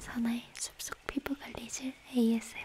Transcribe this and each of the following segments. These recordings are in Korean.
선아의 숲속 피부 관리실 ASMR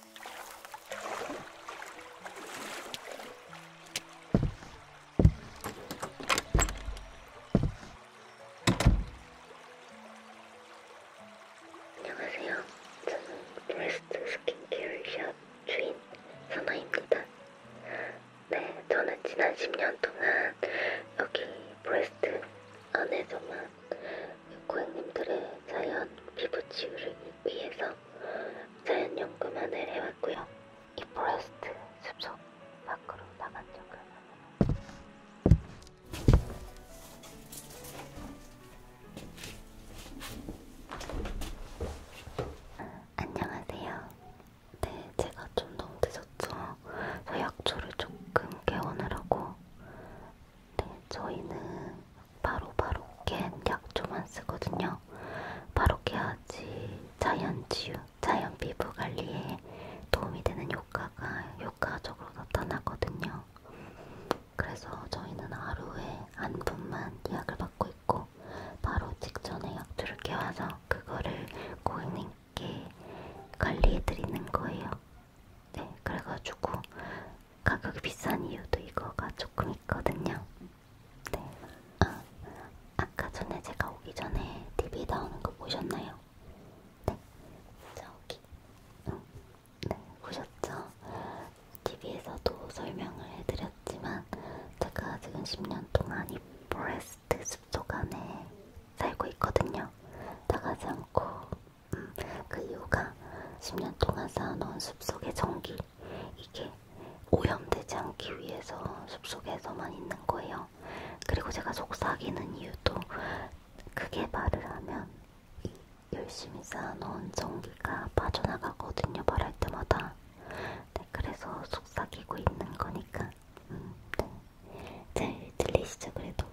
안녕하세요. 저는 브레스트 스킨케어 샵 주인 선아입니다. 네, 저는 지난 10년 동안 여기 브레스트 안에서만 고객님들의 자연 피부 치유를 위해서 사연연금을 내려왔고요. 이 포레스트 숲속 밖으로 나간 적은 안녕하세요. 네, 제가 좀 너무 늦었죠. 저 약초를 조금 개원을 하고 네, 저희는 바로바로 깬 약초만 쓰거든요. 바로 깨야지 자연치유, 자연피부 관리에 도움이 되는 효과가 효과적으로 나타나거든요. 그래서 저희는 하루에 한 분만 예약을 받고 있고 바로 직전에 약초를 깨와서 그거를 고객님께 관리해드리는 거예요. 네, 그래가지고 가격이 비싼 이유도 이거가 조금 있거든요. 네. 아, 아까 전에 제가 오기 전에 TV에 나오는 거 보셨나요? 네. 저기. 응. 어, 네, 보셨죠? TV에서도 설명을 해드렸지만 제가 지금 10년 동안 이 포레스트 숲속 안에 살고 있거든요. 나가지 않고. 음, 그 이유가 10년 동안 쌓아놓은 숲속의 전기 이게 오염되지 않기 위해서 숲속에서만 있는 거예요. 그리고 제가 속삭이는 이유도 크게 말을 하면 이 열심히 쌓아놓은 전기가 빠져나가거든요. 말할 때마다. 네, 그래서 속삭이고 있는 거니까. 음, 네. 잘 들리시죠? 그래도.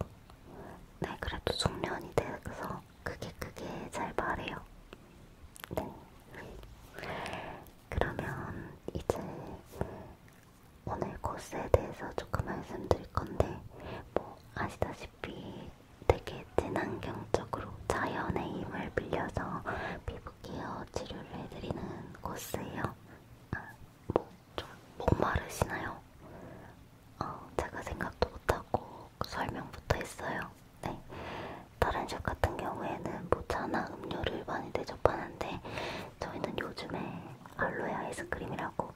네, 그래도 숙련이 돼서 크게 크게 잘 말해요. 네. 그러면 이제 오늘 코스에 대해서 조금 말씀드릴 건데, 뭐 아시다시피 되게 친환경적으로 자연의 힘을 빌려서 피부 케어 치료를 해드리는 코스예요. 아, 뭐좀 목마르시나요? 어, 제가 생각도 못하고 설명부터 했어요. 네. 다른 샵 같은 경우에는 모차나 뭐 음료를 많이 대접하는데 저희는 요즘에 알로에 아이스크림이라고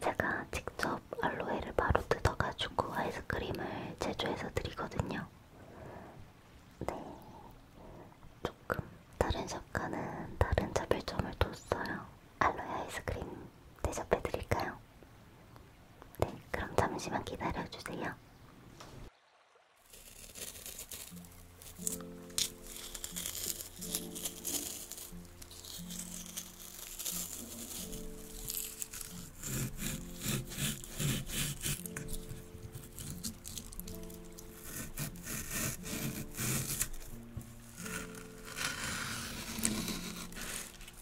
제가 직접 알로에를 바로 뜯어가지고 아이스크림을 제조해서 드리거든요. 네. 조금 다른 샵과는 다른 차별점을 뒀어요. 알로에 아이스크림 대접해드릴까요? 네, 그럼 잠시만 기다려주세요.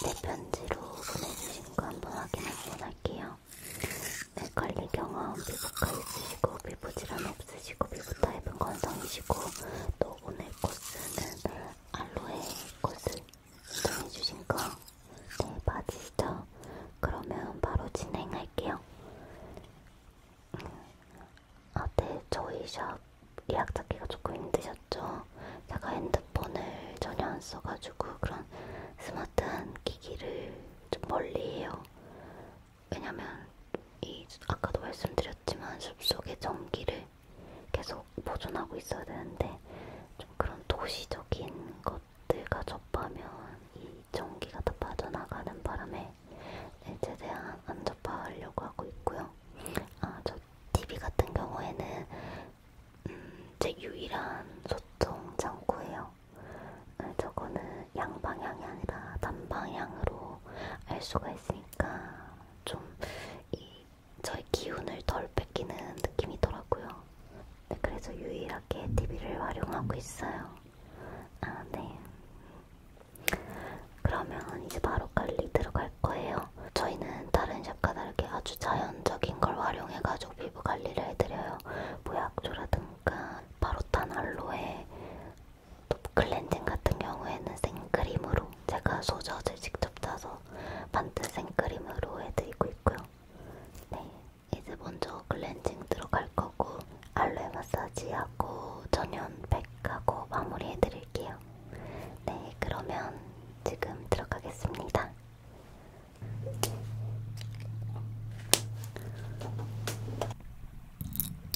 내 편지로 보내주신 거 한번 확인 한번 할게요. 맥걸리 경험, 피부과 있으시고 피부 질환 없으시고 있으시고 피부 타입은 건성이시고 또 오늘 코스는 알로에 코스 신청해주신 거 네, 맞으시죠? 그러면 바로 진행할게요. 아, 네, 저희 샵 예약 잡기가 조금 힘드셨죠? 제가 핸드폰을 전혀 안 써가지고 그런 스마트한 기기를 좀 멀리 해요. 왜냐면 이 아까도 말씀드렸지만 숲속의 전기를 계속 보존하고 있어야 되는데 좀 그런 도시적인 것들과 접하면 이 전기가 다 빠져나가는 바람에 네, 최대한 안 접하려고 하고 있고요. 아, 저 TV 같은 경우에는 음, 제 유일한 소통 창구예요. 저거는 양방향이 아니라 단방향으로 알 수가 있으니까 좀 이 저의 기운을 덜 뺏기는 느낌이더라고요. 네, 그래서 유일하게 TV를 활용하고 있어요. 아, 네. 그러면 이제 바로 관리 들어갈 거예요. 저희는 다른 샵과 다르게 아주 자연적인 걸 활용해가지고 피부 관리를 해드려요. 보약조라든가 바로탄 알로에 톱클렌징 같은 경우에는 생크림으로 제가 소젖을 직접 짜서 만든 생크림으로 해드리고 있고요. 네, 이제 먼저 클렌징 들어갈 거고 알로에 마사지하고 전연팩하고 마무리해드릴게요. 네, 그러면 지금 들어가겠습니다.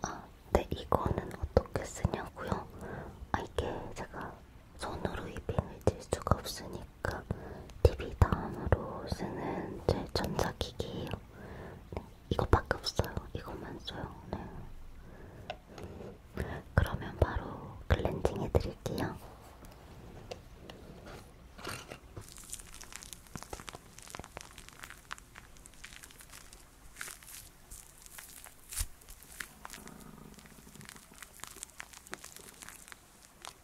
아, 네, 이거는 어떻게 쓰냐고요? 아, 이게 제가 손으로 이빙을 질 수가 없으니 하니까 TV 다음으로 쓰는 제 전자기기예요. 네, 이것밖에 없어요. 이것만 써요. 네. 그러면 바로 클렌징 해드릴게요.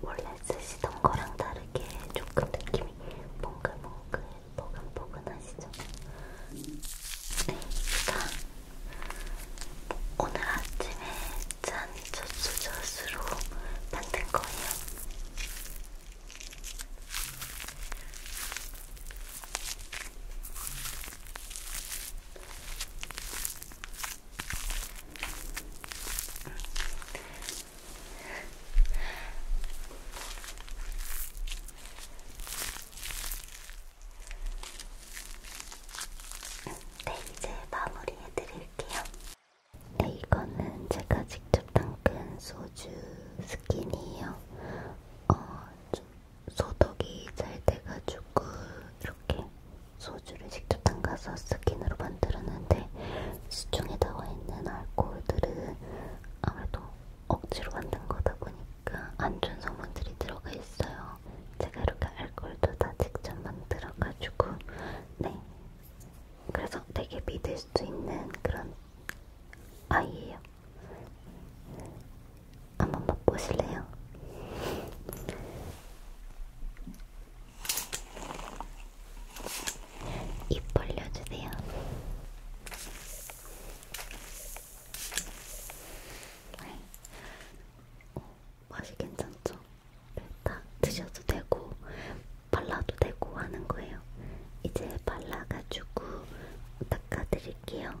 원래 쓰시던 거랑 다르게 조금 느낌이 몽글몽글 포근포근하시죠? 네, 제가 오늘 아침에 짠 저수저수로 만든 거예요. 네, 이제 마무리해 드릴게요. 네, 이거는 제가 직접 담근 소주 스킨이에요. 어, 소독이 잘 돼가지고 이렇게 소주를 직접 담가서 스킨으로 만들었는데 시중에 나와 있는 알코올들은 아무래도 억지로 만든 거다 보니까 안 좋은 성분들이 들어가 있어요. 제가 이렇게 알코올도 다 직접 만들어가지고 네 그래서 되게 믿을 수 있는 그런 아이예요. 한번 맛보실래요? 입 벌려주세요. 어, 맛이 괜찮죠? 다 드셔도 되고 발라도 되고 하는 거예요. 이제 발라가지고 닦아드릴게요.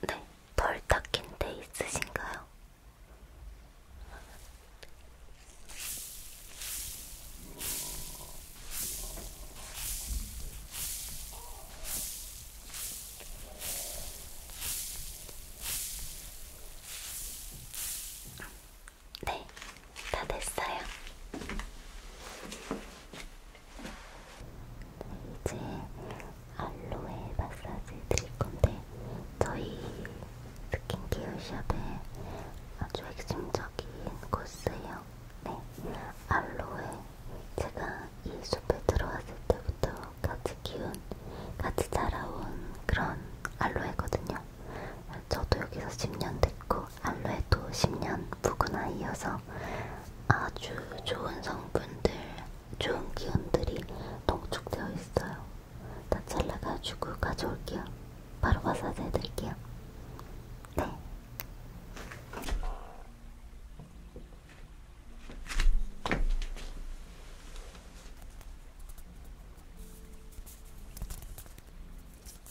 네, 덜 닦인 데 있으신가요? 네, 다 됐어요. 네, 이제 알로에 마사지 드릴 건데 저희 스킨케어 샵에 아주 핵심적인 코스예요. 네, 알로에 제가 이 숲에 들어왔을 때부터 같이 키운, 같이 자라온 그런 알로에거든요. 저도 여기서 10년 됐고 알로에도 10년 묵은아 이어서 아주 좋은 성분들, 좋은 기운들이 농축되어 있어요. 다 잘라가지고 가져올게요. 바로 와서 해드릴게요. 네. 네.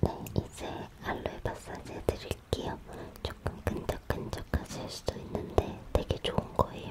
네, 이제 알로에 마사지 해드릴게요. 조금 끈적끈적하실 수도 있는데 되게 좋은 거예요.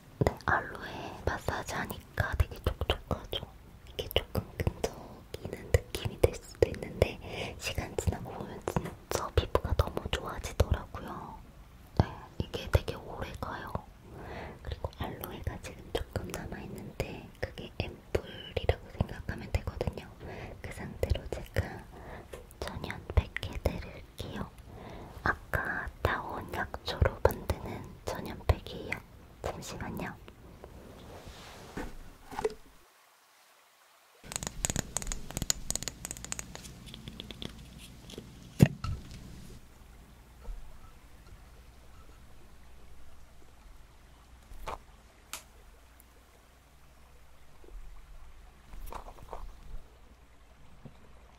네, 알로에 마사지 하니까 되게 촉촉하죠. 이게 조금 끈적이는 느낌이 들 수도 있는데 시간 지나고 보면 진짜 피부가 너무 좋아지더라고요. 네, 이게 되게 오래 가요. 그리고 알로에가 지금 조금 남아있는데 그게 앰플이라고 생각하면 되거든요. 그 상태로 제가 천연 백개들을 해드릴게요. 아까 타온 약초로 만드는 전염팩이에요. 잠시만요.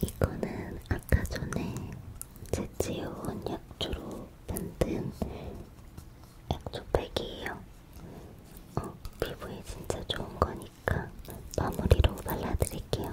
이거는 아까 전에 제치온 약초로 만든 약초팩이에요. 어, 피부에 진짜 좋은 거니까 마무리로 발라드릴게요.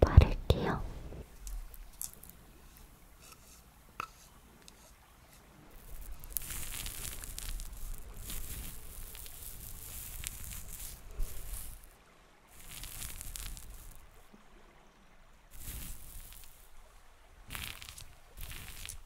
바를게요.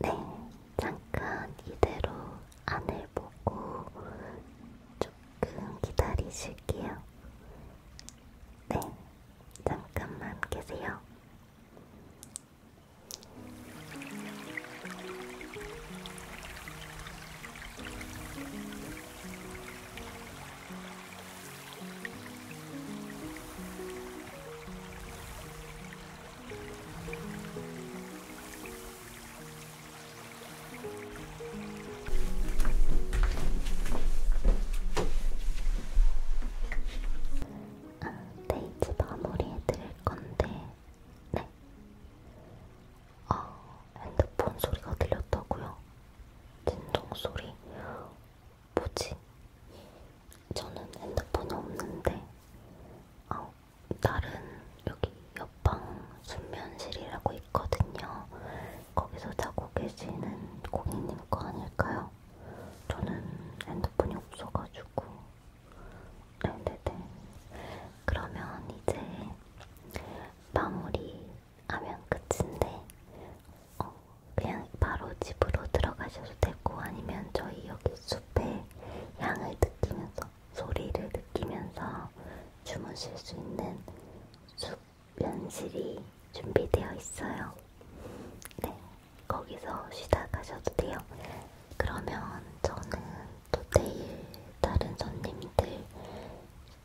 네, 잠깐 이대로 안을 보고 좀 그럼 기다리실게요. 네, 잠깐만 계세요. 네, 이제 마무리해드릴 건데, 네. 아, 핸드폰 소리가 들렸다고요? 진동 소리? 뭐지? 저는 핸드폰이 없는데, 아, 다른 여기 옆 안방방 숙면실이라고 있거든요. 거기서 자고 계시는 고객님 거 아닐까요? 저는 핸드폰이 없어가지고. 네네네. 네, 네. 그러면 이제 마무리하면 끝인데, 어, 그냥 바로 집으로 들어가셔도 되고, 아니면 저희 여기 숲에 향을 느끼면서, 소리를 느끼면서 주무실 수 있는 숙면실이 준비되어 있어요. 네, 거기서 쉬다 가셔도 돼요. 그러면 저는 또 내일 다른 손님들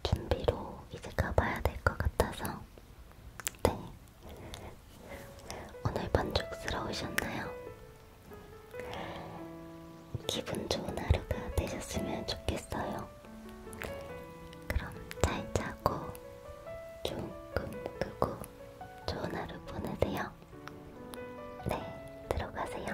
준비로 이제 가봐야 될 것 같아서 네, 오늘 만족스러우셨나요? 기분 좋은 하루가 되셨으면 좋겠어요. 그럼 잘 자고 조금 끄고 좋은 하루 보내세요. 네, 들어가세요.